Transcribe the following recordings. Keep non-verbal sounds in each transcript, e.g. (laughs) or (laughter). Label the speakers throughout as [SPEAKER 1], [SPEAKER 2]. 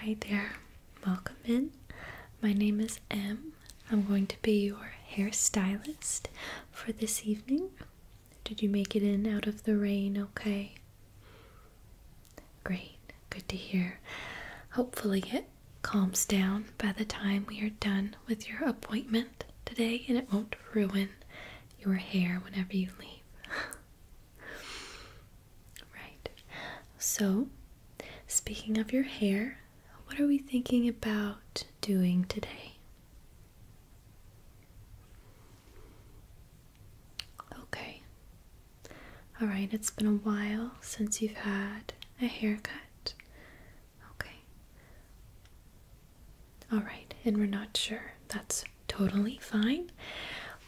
[SPEAKER 1] Hi there, welcome in. My name is M. I'm going to be your hairstylist for this evening. Did you make it in out of the rain okay? Great, good to hear. Hopefully, it calms down by the time we are done with your appointment today and it won't ruin your hair whenever you leave. (laughs) Right. So, speaking of your hair, what are we thinking about doing today? Okay. All right, it's been a while since you've had a haircut. Okay. All right, and we're not sure. That's totally fine.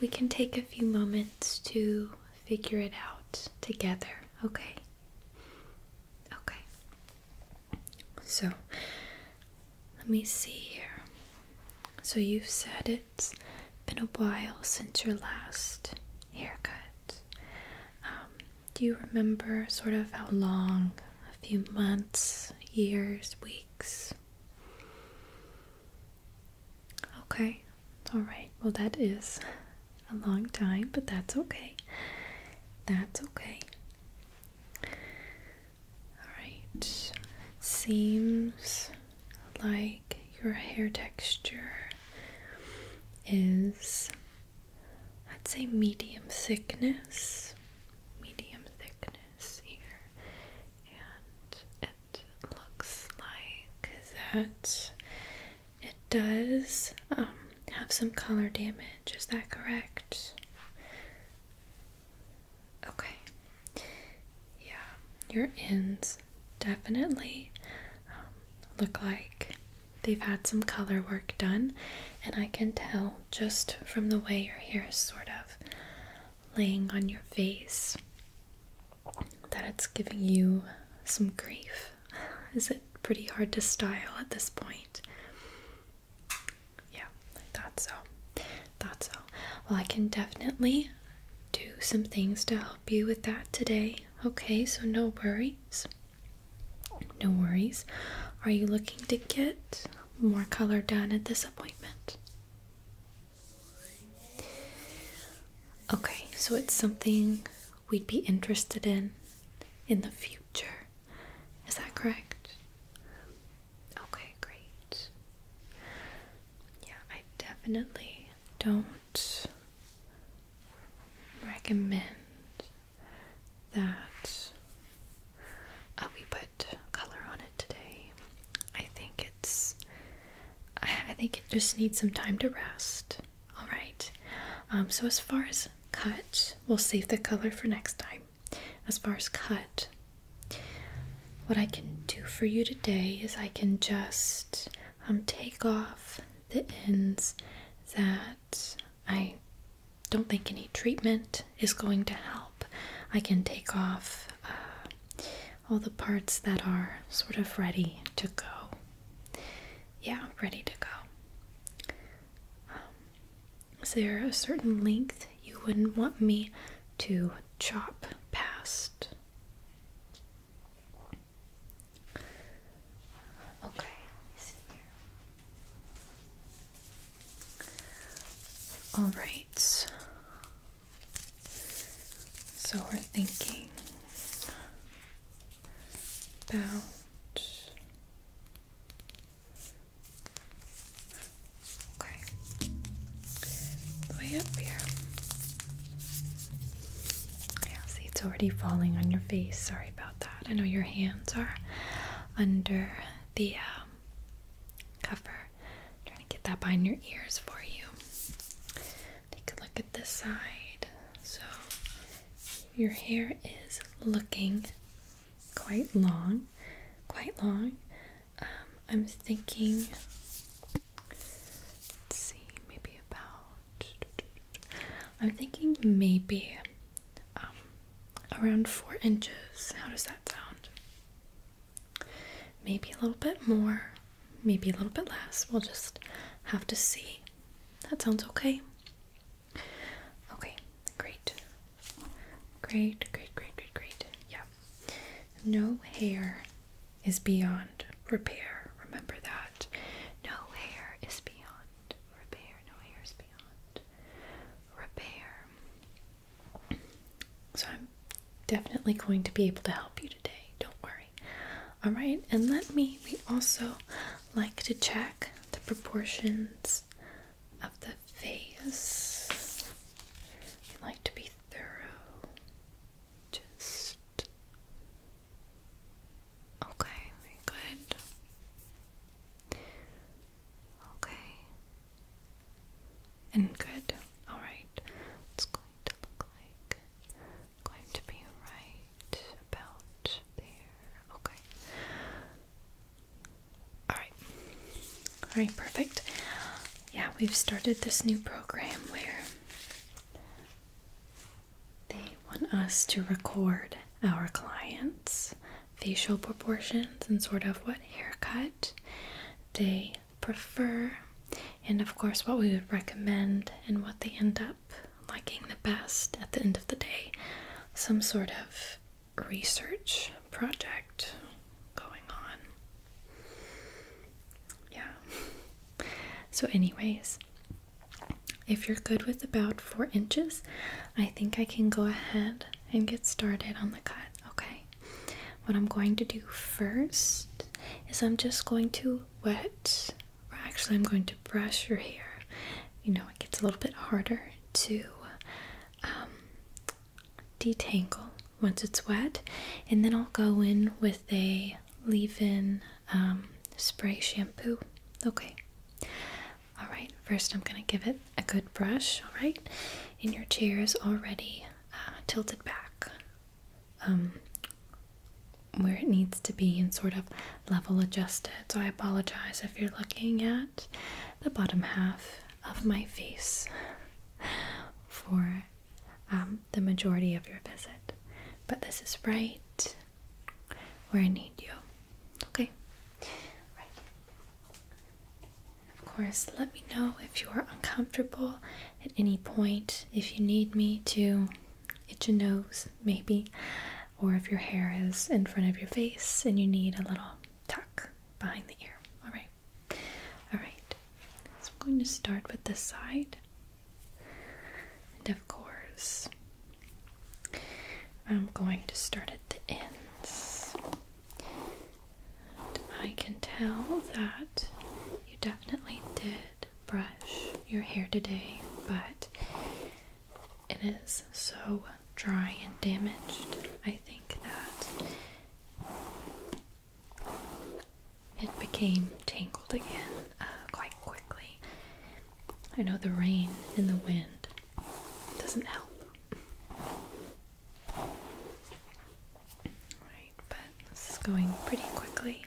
[SPEAKER 1] We can take a few moments to figure it out together, okay? Okay. So, let me see here. So, you've said it's been a while since your last haircut. Um, do you remember sort of how long? A few months, years, weeks? Okay, alright, well, that is a long time, but that's okay. That's okay. Alright, seems like your hair texture is, I'd say, medium thickness. Medium thickness here, and it looks like that it does um, have some color damage. Is that correct? Okay. Yeah, your ends definitely um, look like they've had some color work done, and I can tell just from the way your hair is sort of laying on your face that it's giving you some grief. (laughs) Is it pretty hard to style at this point? Yeah, I thought so. Thought so. Well, I can definitely do some things to help you with that today. Okay, so no worries. No worries. Are you looking to get more color done at this appointment? Okay, so it's something we'd be interested in in the future. Is that correct? Okay, great. Yeah, I definitely don't recommend that uh, we put color on it today. I think it's I think it just needs some time to rest. All right. Um, so as far as cut, we'll save the color for next time. As far as cut, what I can do for you today is I can just um, take off the ends that I don't think any treatment is going to help. I can take off uh, all the parts that are sort of ready to go. Yeah, ready to go. Um, is there a certain length you wouldn't want me to chop past? Okay, All right. So we're thinking about okay way up here. Yeah, see, it's already falling on your face. Sorry about that. I know your hands are under the um, cover, trying to get that behind your ears for you. Take a look at this side. So your hair is looking quite long, quite long. Um, I'm thinking, see, maybe about, I'm thinking maybe um, around four inches. How does that sound? Maybe a little bit more, maybe a little bit less. We'll just have to see. That sounds okay. Okay, great. Great, great, great, great, great. Yeah. No hair is beyond repair. Remember that. No hair is beyond repair. No hair is beyond repair. So I'm definitely going to be able to help you today. Don't worry. All right, and let me. We also like to check the proportions of the face. We like to be thorough. Just okay. Very good. Okay. And good. All right. Let's go going to be right about there. Okay. Alright. Alright, perfect. Yeah, we've started this new program where they want us to record our clients' facial proportions and sort of what haircut they prefer, and of course, what we would recommend and what they end up liking the best at the end of the day. Some sort of research project going on. Yeah. So, anyways, if you're good with about four inches, I think I can go ahead and get started on the cut, okay? What I'm going to do first is I'm just going to wet, or actually, I'm going to brush your hair. You know, it gets a little bit harder to um, detangle once it's wet, and then I'll go in with a leave in um, spray shampoo. Okay. All right, first I'm going to give it a good brush, all right? And your chair is already uh, tilted back um, where it needs to be and sort of level adjust it. So I apologize if you're looking at the bottom half of my face for um, the majority of your visit. But this is right where I need you. Okay. Right. Of course, let me know if you are uncomfortable at any point if you need me to itch your nose, maybe, or if your hair is in front of your face and you need a little tuck behind the ear. All right, all right. So I'm going to start with this side, and of course, I'm going to start at the ends. I can tell that you definitely did brush your hair today, but it is so dry and damaged. I think that it became tangled again uh, quite quickly. I know the rain and the wind doesn't help. Alright, but this is going pretty quickly.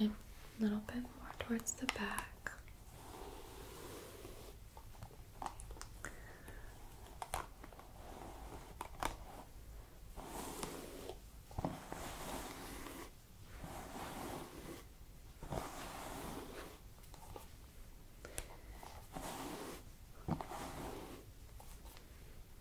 [SPEAKER 1] A little bit more towards the back.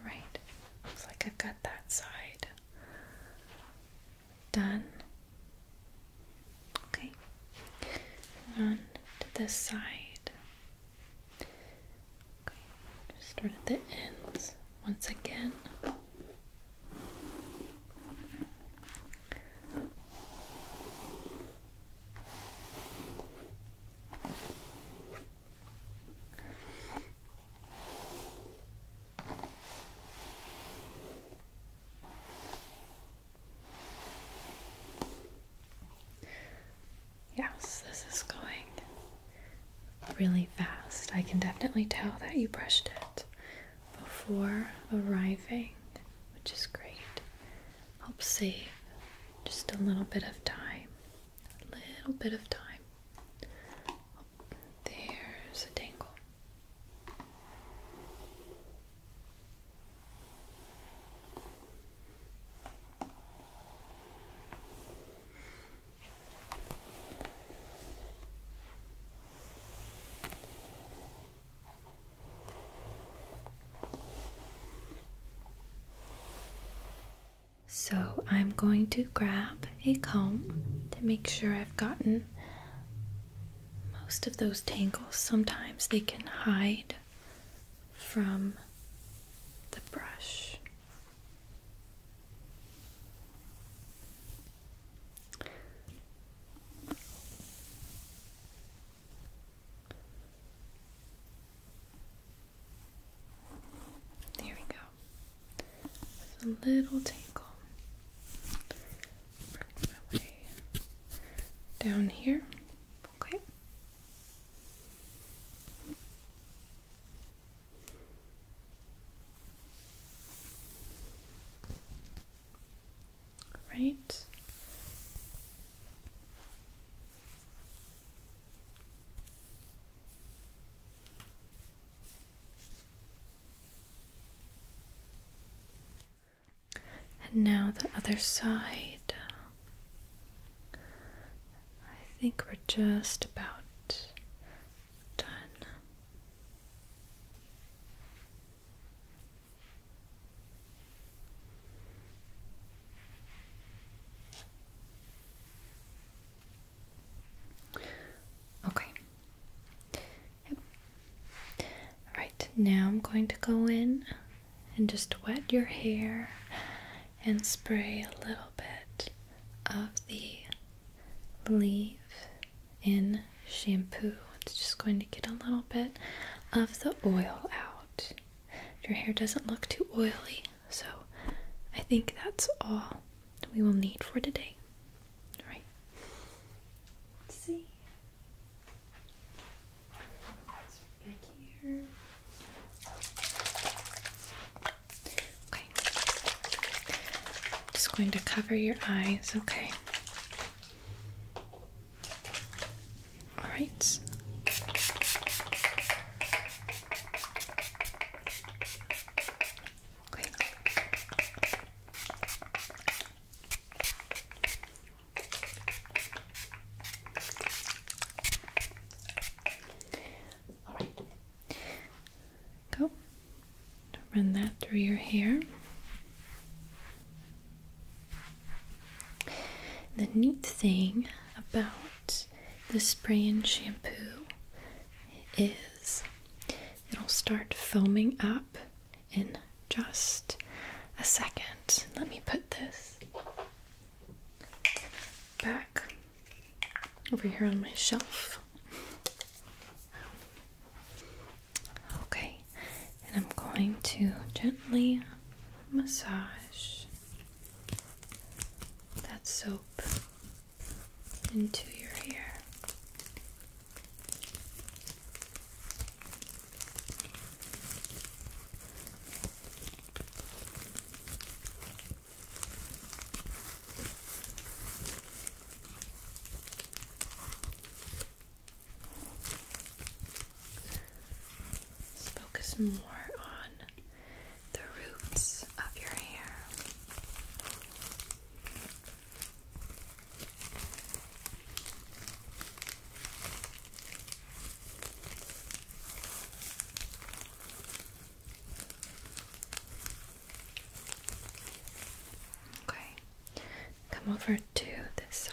[SPEAKER 1] Alright, looks like I've got that side done. Okay, on to this side. just start at the ends once again. Yes, this is going really fast. I can definitely tell that you brushed it before arriving, which is great. Helps save just a little bit of time. A little bit of time. There's a tangle. So I'm going to grab a comb to make sure I've gotten most of those tangles. Sometimes they can hide from the brush. There we go. With a little tangle. Work my way down here. Okay. Right. And now the other side. I think we're just about done. Okay. Yep. All right, now I'm going to go in and just wet your hair and spray a little bit of the leave in shampoo. It's just going to get a little bit of the oil out. Your hair doesn't look too oily. So I think that's all we will need for today. All right. Let's see. Back here. Okay. Just going to cover your eyes, okay? All right. All right. Go. Run that through your hair. The neat thing about the spray and shampoo is it'll start foaming up in just a second. Let me put this back over here on my shelf. Okay, and I'm going to gently massage that soap into your hair. Let's focus more on the roots of your hair. Okay, come over to this side.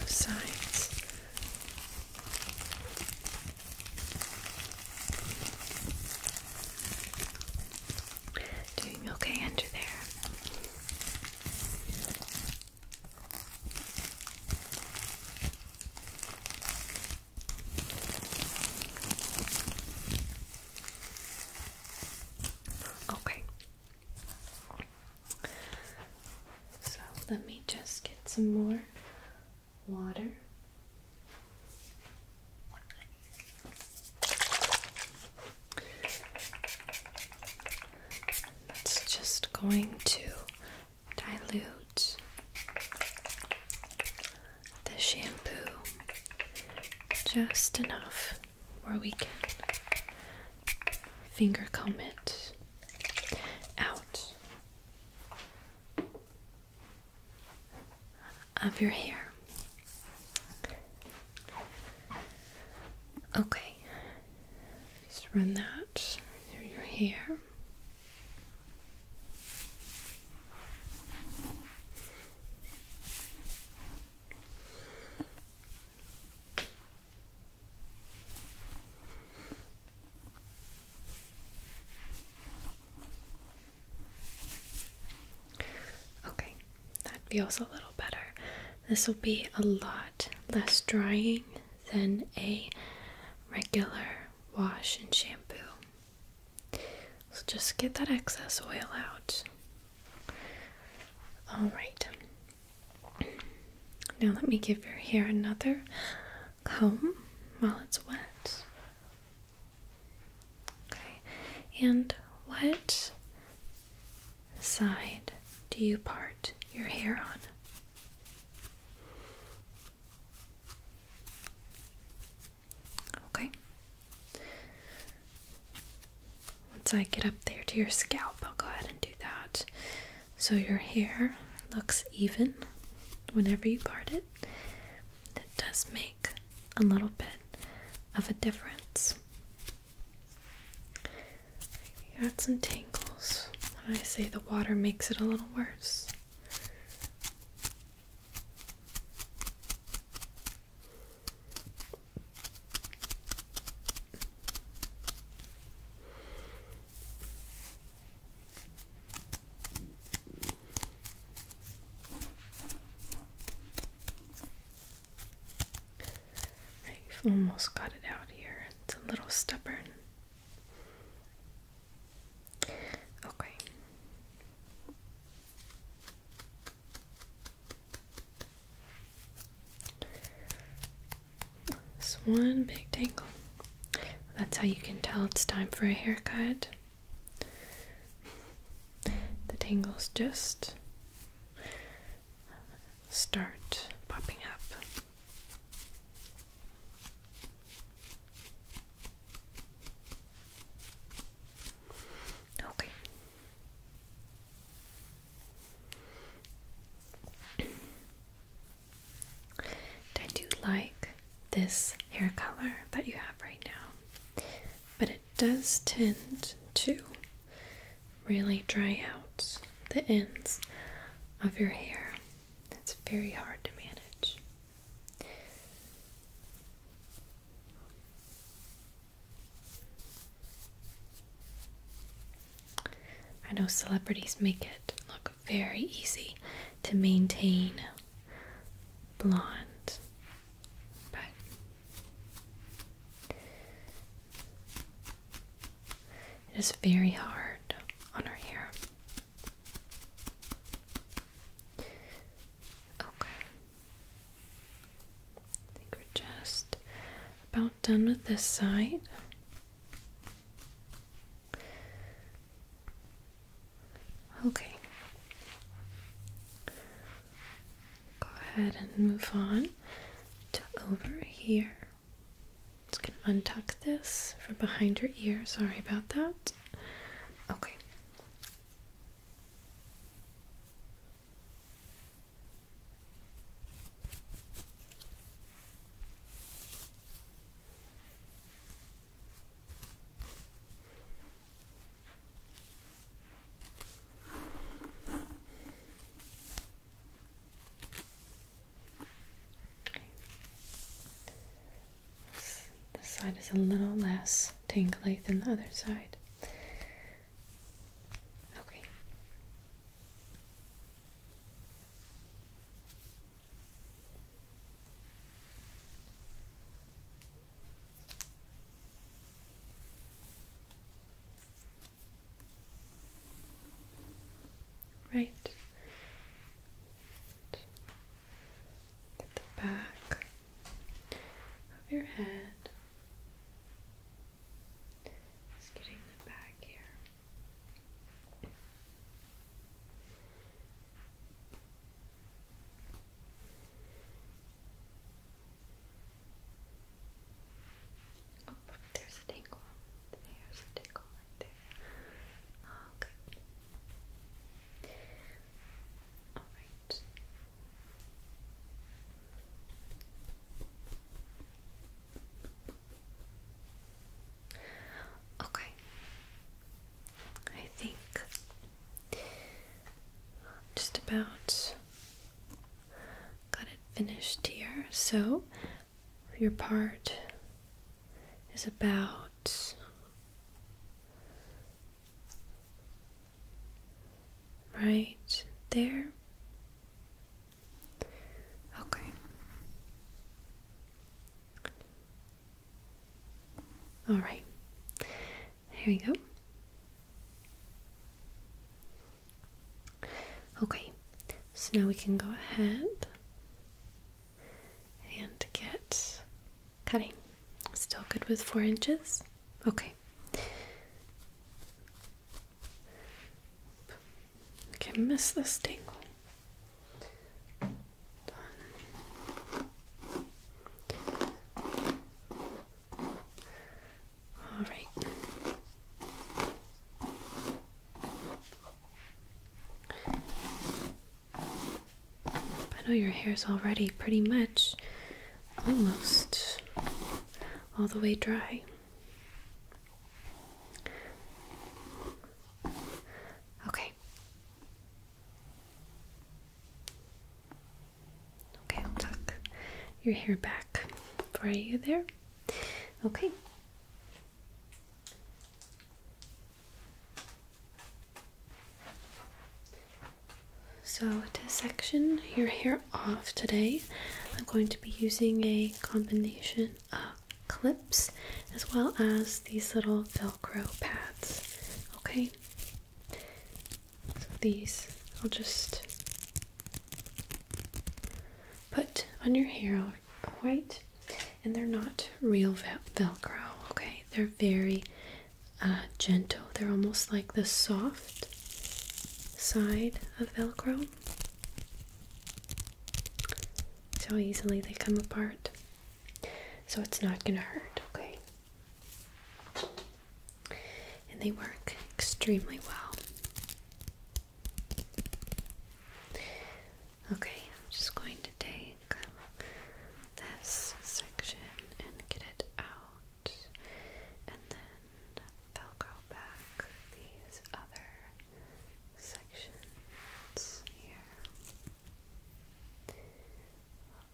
[SPEAKER 1] Both sides Doing okay under there. Okay. So let me just get some more water. That's just going to dilute the shampoo just enough where we can finger comb it out of your hair. Okay, just run that through your hair. Okay, that feels a little better. This will be a lot less drying than a regular wash and shampoo. So just get that excess oil out. All right, now, let me give your hair another comb while it's wet. Okay, and what side do you part your hair on? Okay. Once I get up there to your scalp, I'll go ahead and do that so your hair looks even whenever you part it. It does make a little bit of a difference. You got some tangles. When I say the water makes it a little worse. Right, have almost got it out here. It's a little stubborn. Okay. It's one big tangle. That's how you can tell it's time for a haircut. The tangles just start popping up. Okay. I do like this hair color that you have right now, but it does tend to really dry out the ends of your hair. It's very hard to manage. I know celebrities make it look very easy to maintain blonde. But it is very hard on our hair. Okay. I think we're just about done with this side. Okay. Go ahead and move on to over here. Just gonna untuck this from behind your ear. Sorry about that. Okay. This, side is a little less tingly than the other side. Okay. Right. Get the back of your head. Just getting the back here. Oh, there's a tinkle. There's a tinkle right there. Okay. Oh, All right. Okay. I think just about got it finished here. So your part is about right there. Okay. All right. There we go. Okay. So now we can go ahead and get cutting. Still good with four inches? Okay. I can miss this tingle. All right. I know your hair is already pretty much almost all the way dry. Okay. Okay, I'll tuck your hair back for you there. Okay. So to section your hair off today, I'm going to be using a combination of clips as well as these little velcro pads. Okay, so these I'll just put on your hair, white, and they're not real velcro. Okay, they're very uh, gentle, they're almost like the soft side of velcro. So easily they come apart? So it's not gonna hurt, okay? And they work extremely well. Okay, I'm just going to take this section and get it out, and then Velcro back these other sections here.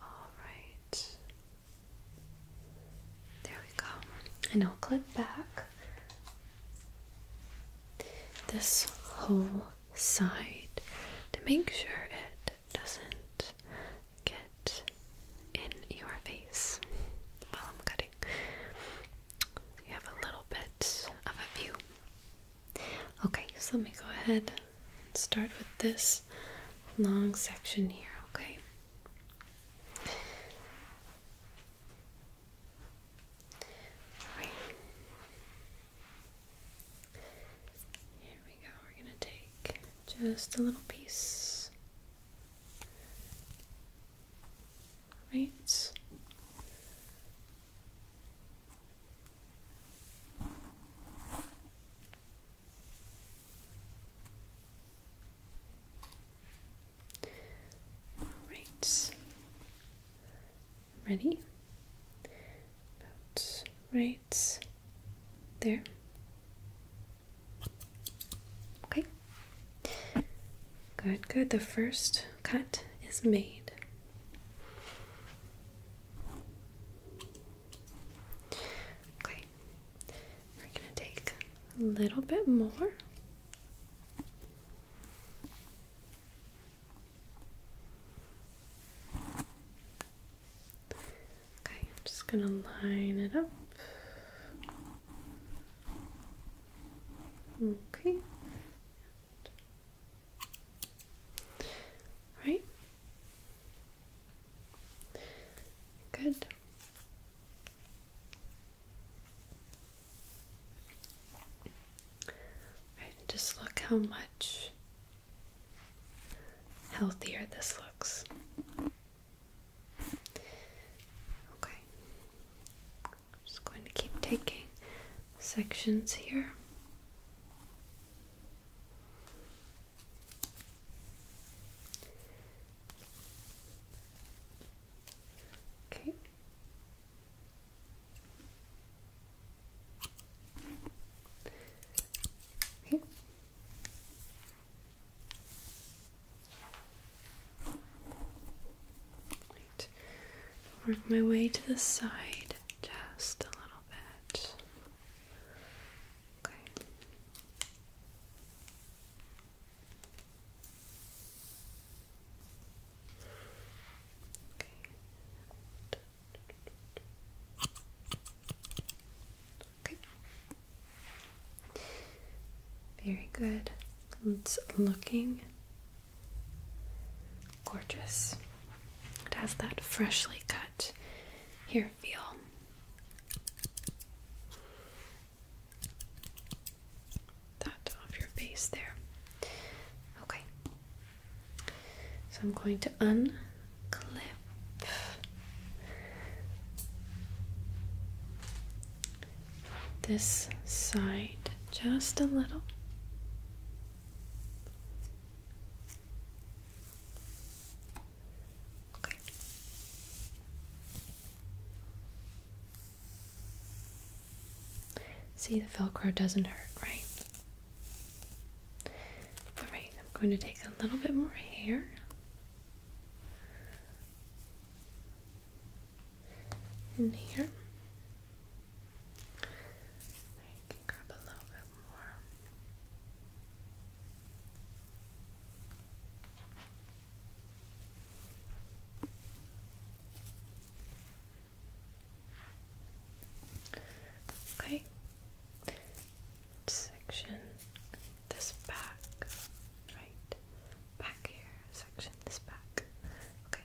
[SPEAKER 1] Alright. There we go. And I'll clip back this whole side to make sure it doesn't get in your face while I'm cutting lighting. have a little bit of a view. Okay, so let me go ahead and start with this long section here, okay? Here we go. We're going to take just a little piece right? Right. Ready? right there. Okay. Good, good. The first cut is made. Okay, we're going to take a little bit more. Okay, I'm just going to line it up. Okay. All right. Good. just look how much healthier this looks. Okay. I'm just going to keep taking sections here. Okay. Okay. Right. Work my way to the side just a little bit. Okay. Okay. Okay. Very good. It's looking Gorgeous. It has that freshly cut Here, feel. That off your face there. Okay. So I'm going to unclip this side just a little. See, the Velcro doesn't hurt, right? Alright, I'm going to take a little bit more hair in here. Okay, section this back, right back here, section this back. Okay,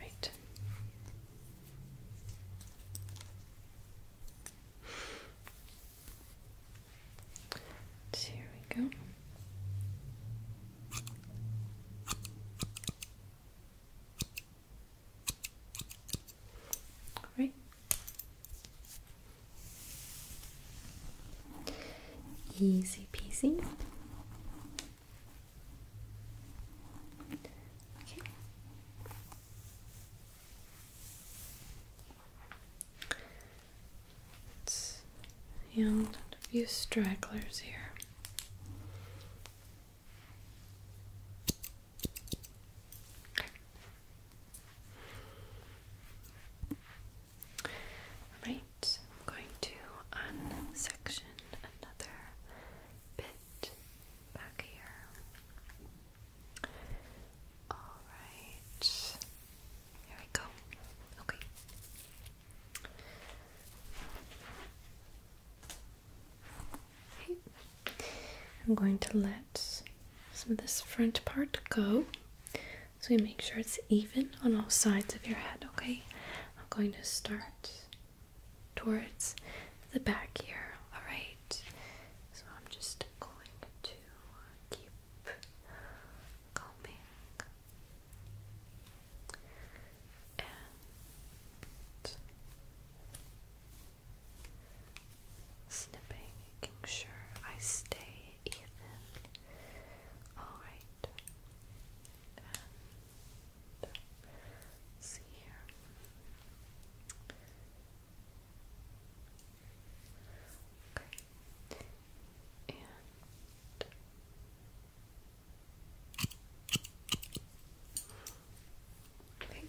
[SPEAKER 1] Right. Here we go. Right. Easy peasy. Okay. It's, yeah, a few stragglers here. Right, I'm going to unsection another bit back here. Alright, here we go. Okay. I'm going to let some of this front part go. So we make sure it's even on all sides of your head, okay? I'm going to start towards the back here, alright? So I'm just going to keep combing and snipping, making sure I stay even. Alright and see here. Okay. And okay. And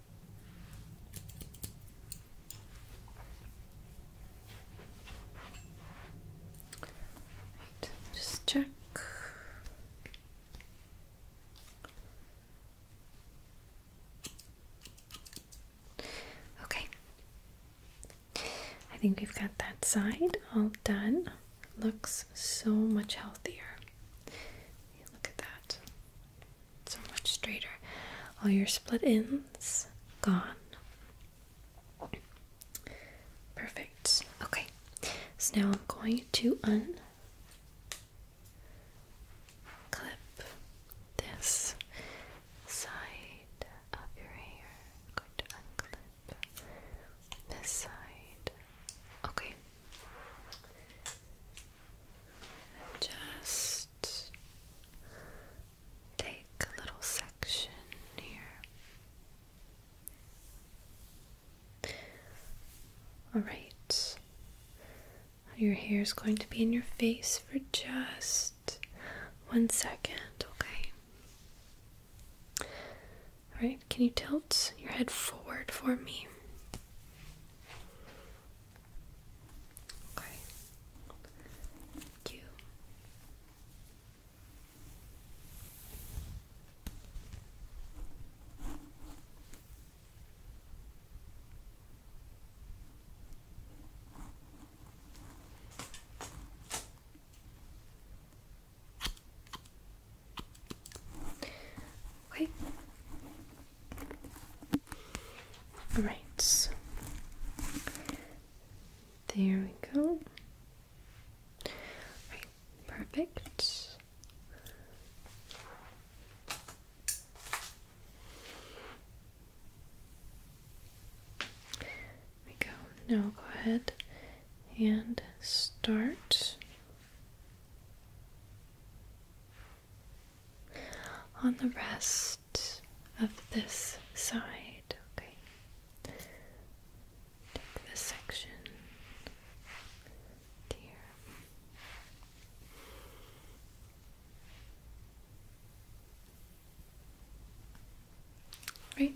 [SPEAKER 1] just check. Okay. I think we've got that side all done. Looks so much healthier. Look at that so much straighter. All your split ends gone. Perfect. Okay. So now I'm going to unclip this side of your hair. I'm going to unclip this side. Okay. Just take a little section here. Alright, your hair is going to be in your face for just one second, okay? Alright, can you tilt your head forward for me? Okay. You. Okay. Right. There we go. perfect. we go. Now go ahead and start on the rest of this side. Okay. Take this section here. Right.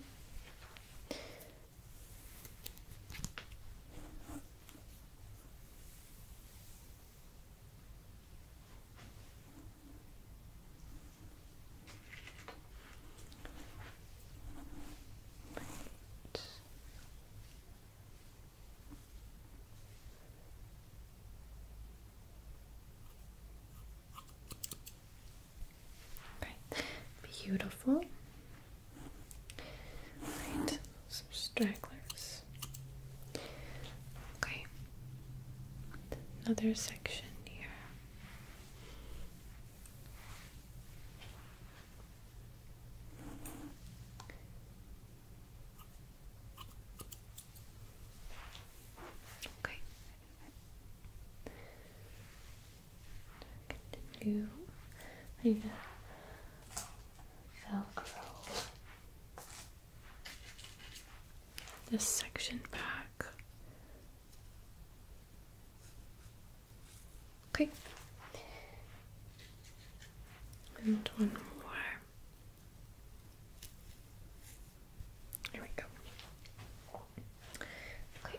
[SPEAKER 1] Right. Beautiful. Right some stragglers. Okay, another section here. Okay. Continue. I velcro this section back. Okay. And one more. There we go. Okay.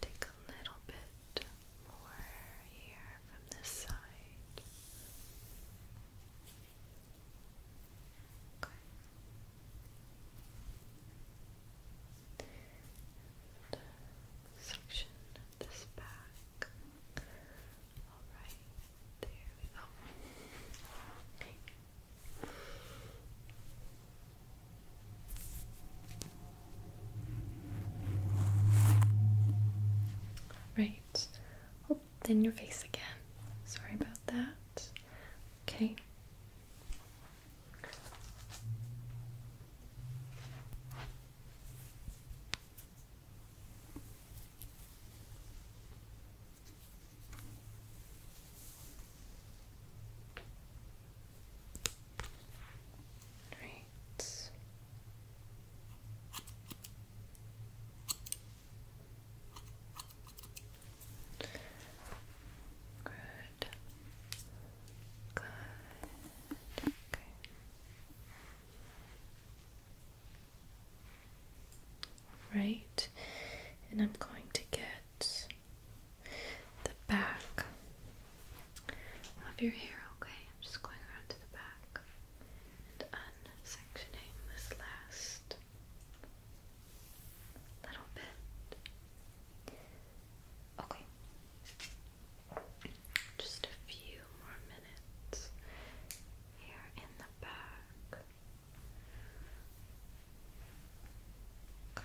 [SPEAKER 1] Take a little bit more here from this side. Okay. And this back. Alright, there we go. Right. Oh, then your face again. Sorry about that. Okay. Right. Good. Good. Right. And I'm going to get the back of your hair, okay? I'm just going around to the back and sectioning this last little bit. Okay. Just a few more minutes here in the back. Okay.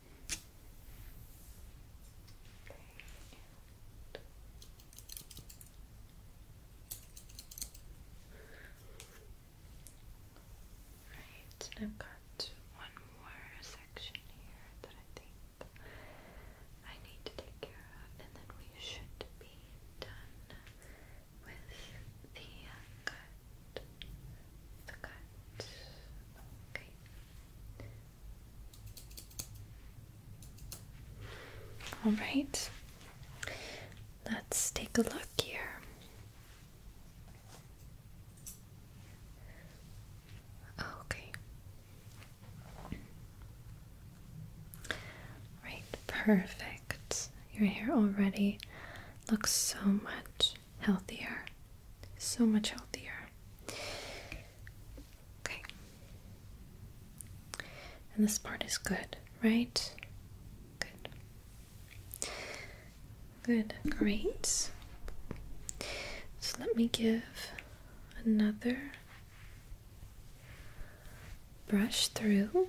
[SPEAKER 1] Right, and I've got one more section here that I think I need to take care of, and then we should be done with the uh, cut the Okay. All right. Let's take a look here. Okay. Right, perfect. Your hair already looks so much healthier so much healthier. Okay. And this part is good, right? Good. Good, great. So let me give another brush through.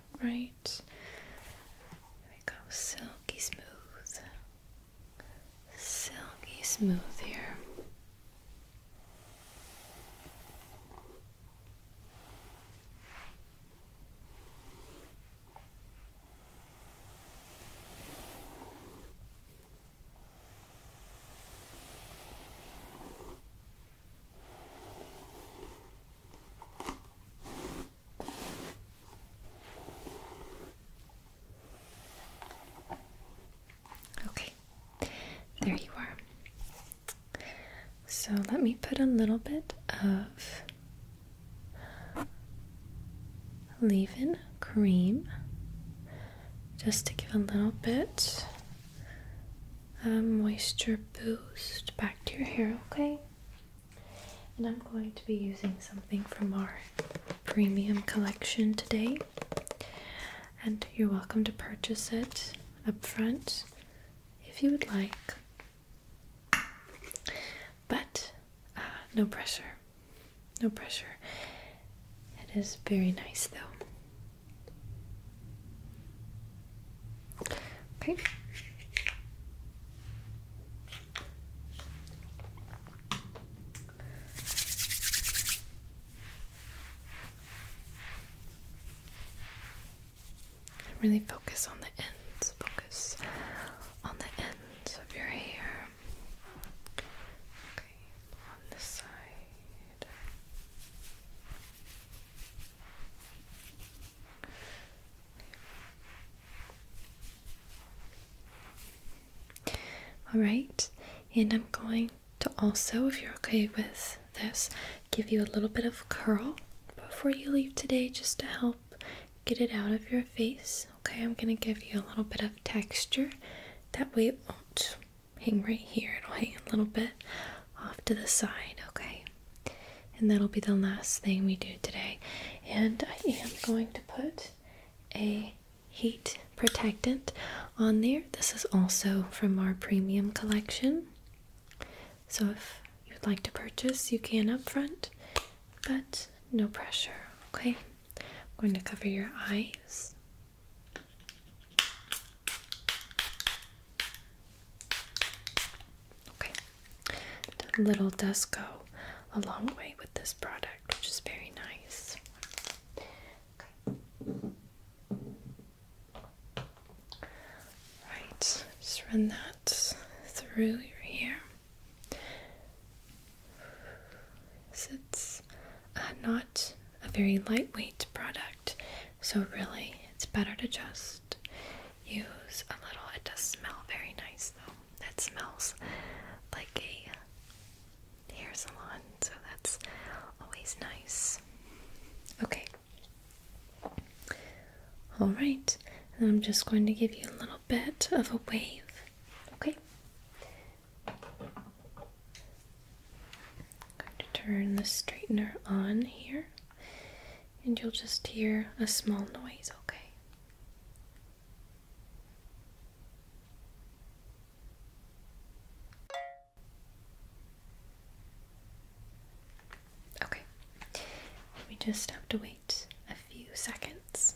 [SPEAKER 1] right? There we go, silky smooth. Silky smooth here. Okay, there you are. So let me put a little bit of leave in cream just to give a little bit of moisture boost back to your hair, okay? And I'm going to be using something from our premium collection today. And you're welcome to purchase it up front if you would like. But uh, no pressure. No pressure. It is very nice though. Okay. really focus on the ends, focus on the ends of your hair. Okay, on this side. All right, and I'm going to also, if you're okay with this, give you a little bit of curl before you leave today just to help get it out of your face. Okay, I'm going to give you a little bit of texture. That way it won't hang right here, it'll hang a little bit off to the side, okay? And that'll be the last thing we do today. And I am going to put a heat protectant on there. This is also from our premium collection. So if you'd like to purchase, you can up front, but no pressure, okay? I'm going to cover your eyes. Okay, little does go a long way with this product, which is very nice. Okay. Right, just run that through your hair. So it's not a very lightweight product. So, really, it's better to just use a little. It does smell very nice, though. It smells like a hair salon, so that's always nice. Okay. Alright, I'm just going to give you a little bit of a wave, okay? going to turn the straightener on here and you'll just hear a small noise, okay? Okay, we just have to wait a few seconds.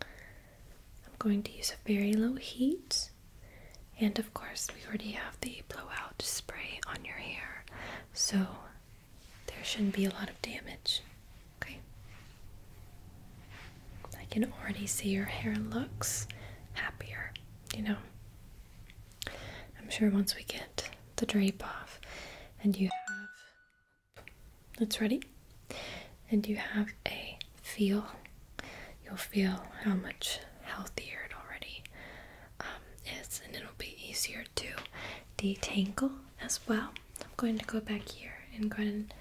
[SPEAKER 1] I'm going to use a very low heat, and of course, we already have the blowout spray on your hair, so there shouldn't be a lot of damage. Okay. I can already see your hair looks happier, you know. I'm sure once we get the drape off and you have it's ready and you have a feel, you'll feel how much healthier it already um, and it'll be easier to detangle as well. I'm going to go back here and go ahead and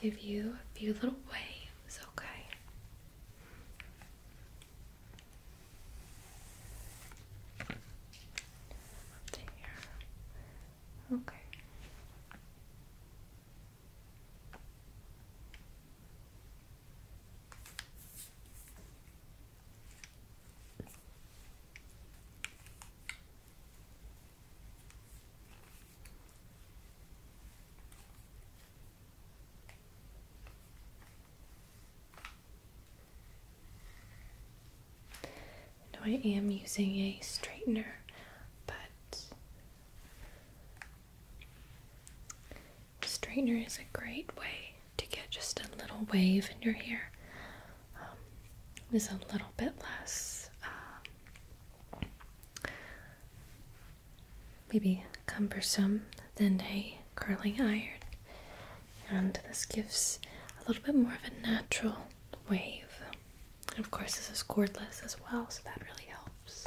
[SPEAKER 1] give you a few little waves, okay? here. Okay. I am using a straightener, but Straightener is a great way to get just a little wave in your hair. Um, is a little bit less, um, maybe cumbersome than a curling iron, and this gives a little bit more of a natural wave. And of course, this is cordless as well, so that really helps.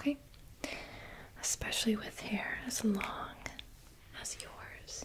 [SPEAKER 1] Okay, especially with hair as long as yours.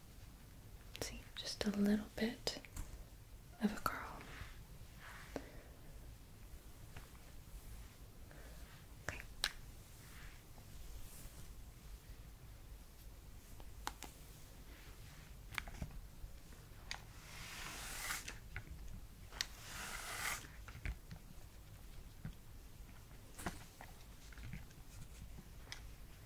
[SPEAKER 1] See, just a little bit of a curl. Okay.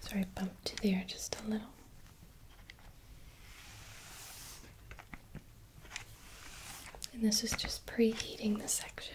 [SPEAKER 1] Sorry, I bumped to there just a little. And this is just preheating the section.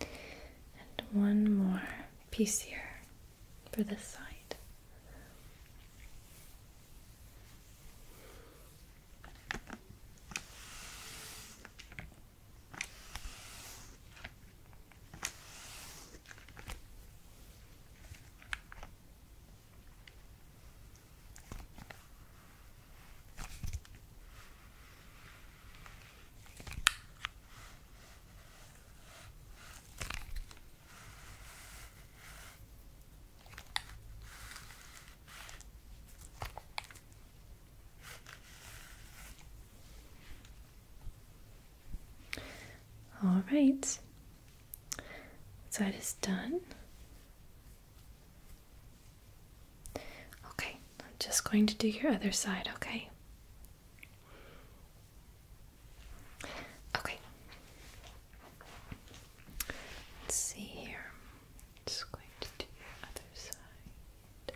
[SPEAKER 1] and one more piece here for this side. All right, that is done. Okay, I'm just going to do your other side, okay? Okay. Let's see here. Just going to do the other side.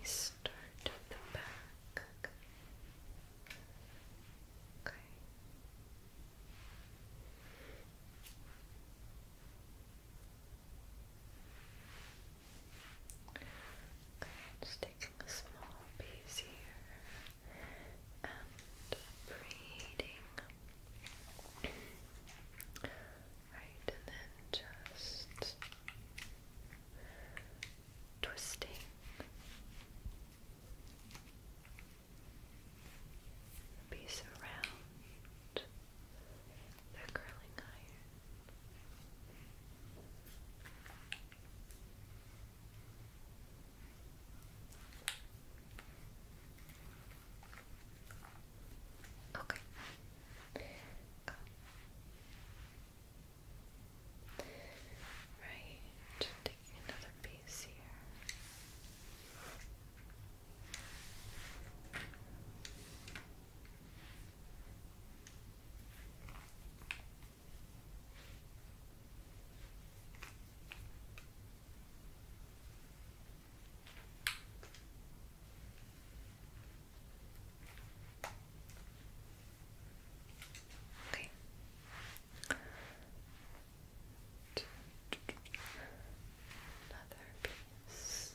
[SPEAKER 1] You start at the back. Okay. Okay just taking a small piece here and breathing. Right, and then just twisting. Piece around the curling iron. Okay. Go. Right. Taking another piece here. Okay. Another piece.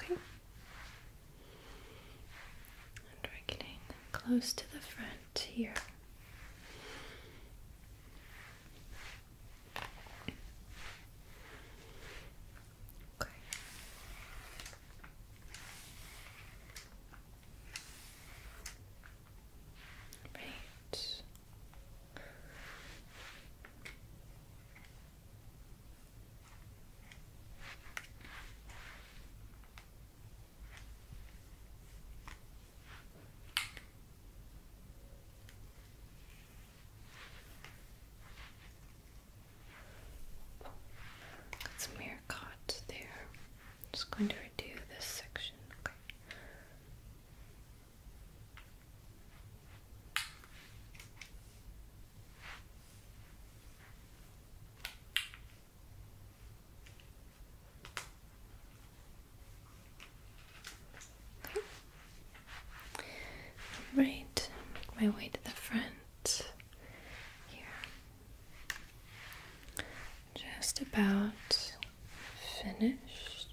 [SPEAKER 1] Okay. And we're getting close to the front here. Okay. Right. Got some meerkat there. I'm just going to redo this section. Okay. Right, my way to the front here. Just about finished.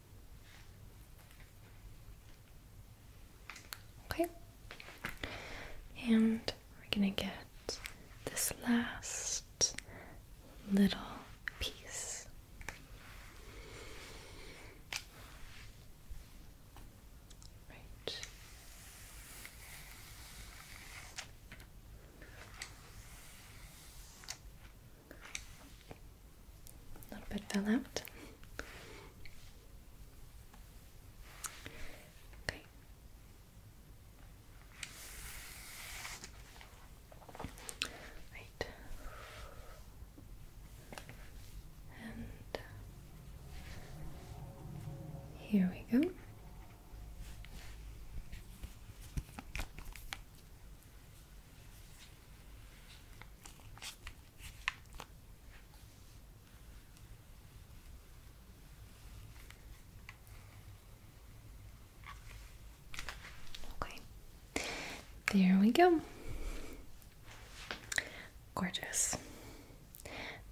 [SPEAKER 1] Okay, and we're gonna get this last little piece. Right. A little bit fell out. Okay. Right. And uh, here we go. Okay, there we go. Gorgeous.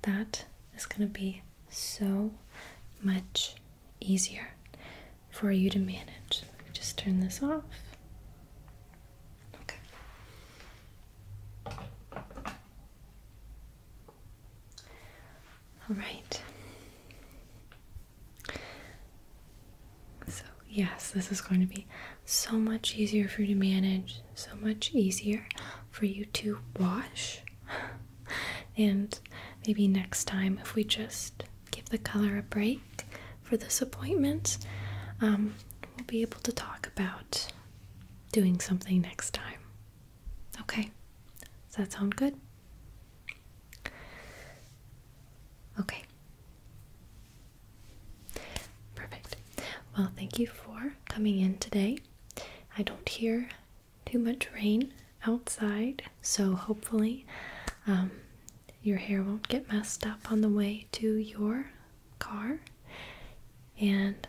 [SPEAKER 1] That is going to be so much easier for you to manage. just turn this off. Okay. All right. So, yes, this is going to be so much easier for you to manage, so much easier for you to wash. and maybe next time, if we just give the color a break, for this appointment, um, we'll be able to talk about doing something next time. Okay, does that sound good? Okay. Perfect. Well, thank you for coming in today. I don't hear too much rain outside, so hopefully um, your hair won't get messed up on the way to your car. And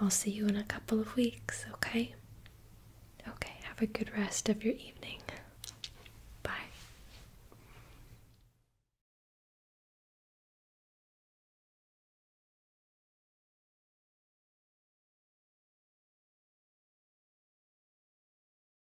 [SPEAKER 1] I'll see you in a couple of weeks, okay? Okay, have a good rest of your evening. Bye.